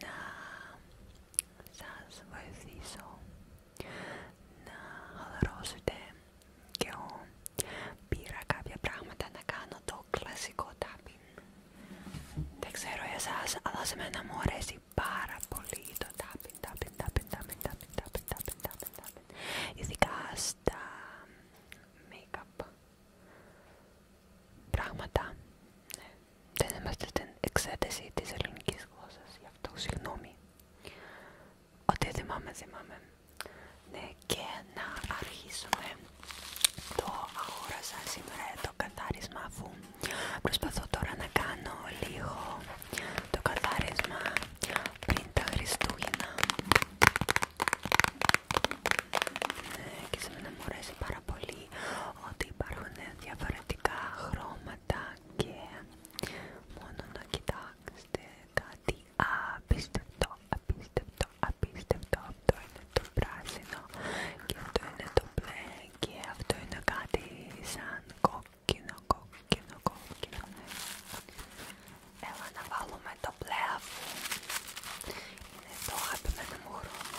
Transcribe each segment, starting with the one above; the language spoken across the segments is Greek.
να σας βοηθήσω να χαλαρώσετε και εγώ πήρα κάποια πράγματα να κάνω το κλασικό tapping δεν ξέρω εσάς αλλά σε μένα μου αρέσει πάρα πολύ το tapping tapping tapping tapping tapping tapping tapping tapping, tapping. ειδικά στα make-up πράγματα ναι δεν είμαστε στην εξέταση της ελληνικής γλώσσας, γι' αυτό συγγνώμη. Ότι θυμάμαι, θυμάμαι. Ναι, και να αρχίσουμε. Το αγόρασα σήμερα το καθάρισμα αφού προσπαθώ τώρα να κάνω λίγο το καθάρισμα πριν τα Χριστούγεννα. Ναι, και σήμερα μου αρέσει πάρα πολύ ότι υπάρχουν διαφορετικά χρώματα και μόνο να κοιτάξετε κάτι απίστευτο, απίστευτο, απίστευτο. Αυτό είναι το πράσινο και αυτό είναι το μπλε και αυτό είναι κάτι σαν κόκκινο, κόκκινο, κόκκινο. Έλα να βάλουμε το μπλε αφού είναι το αγαπημένο μου χρώμα.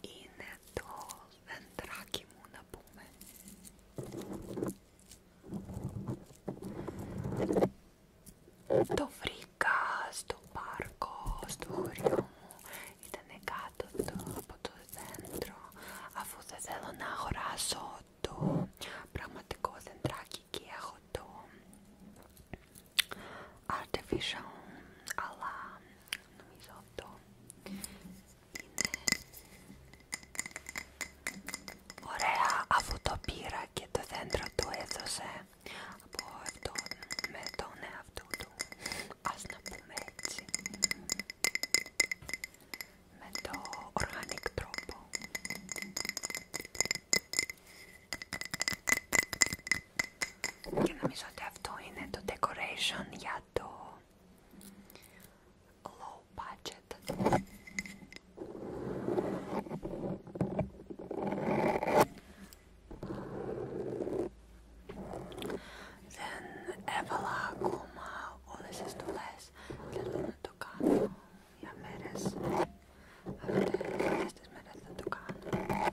είναι το δεντράκι μου να πούμε το βρήκα στο πάρκο, στο χωριό μου ήταν κάτω από το δέντρο αφού δεν θέλω να αγοράσω το πραγματικό δεντράκι και έχω το artificial, αλλά νομίζω αυτό είναι ωραία αφού το πήρα και το δέντρο του έδωσε από αυτό με τον εαυτό του, ας να πούμε έτσι, με το οργανικό τρόπο. Και νομίζω ότι αυτό είναι το decoration για το low budget. Δεν έβαλα ακόμα όλες τις δουλειές. Θέλω να το κάνω για μέρες. Αυτές τις μέρες θα το κάνω.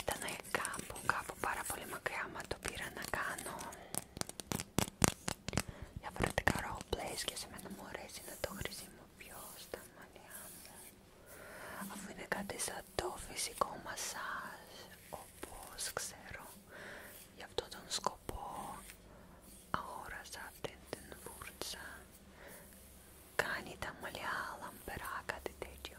Ήταν κάπου, κάπου πάρα πολύ μακριά, μα το πήρα να κάνω διαφορετικά roleplays και σε μένα μου αρέσει να το χρησιμοποιώ στα μαλλιά μου αφού είναι κάτι σαν το φυσικό μασάζ όπως ξέρω γι' αυτό τον σκοπό αγόρασα αυτήν την βούρτσα κάνει τα μαλλιά λαμπερά κάτι τέτοιο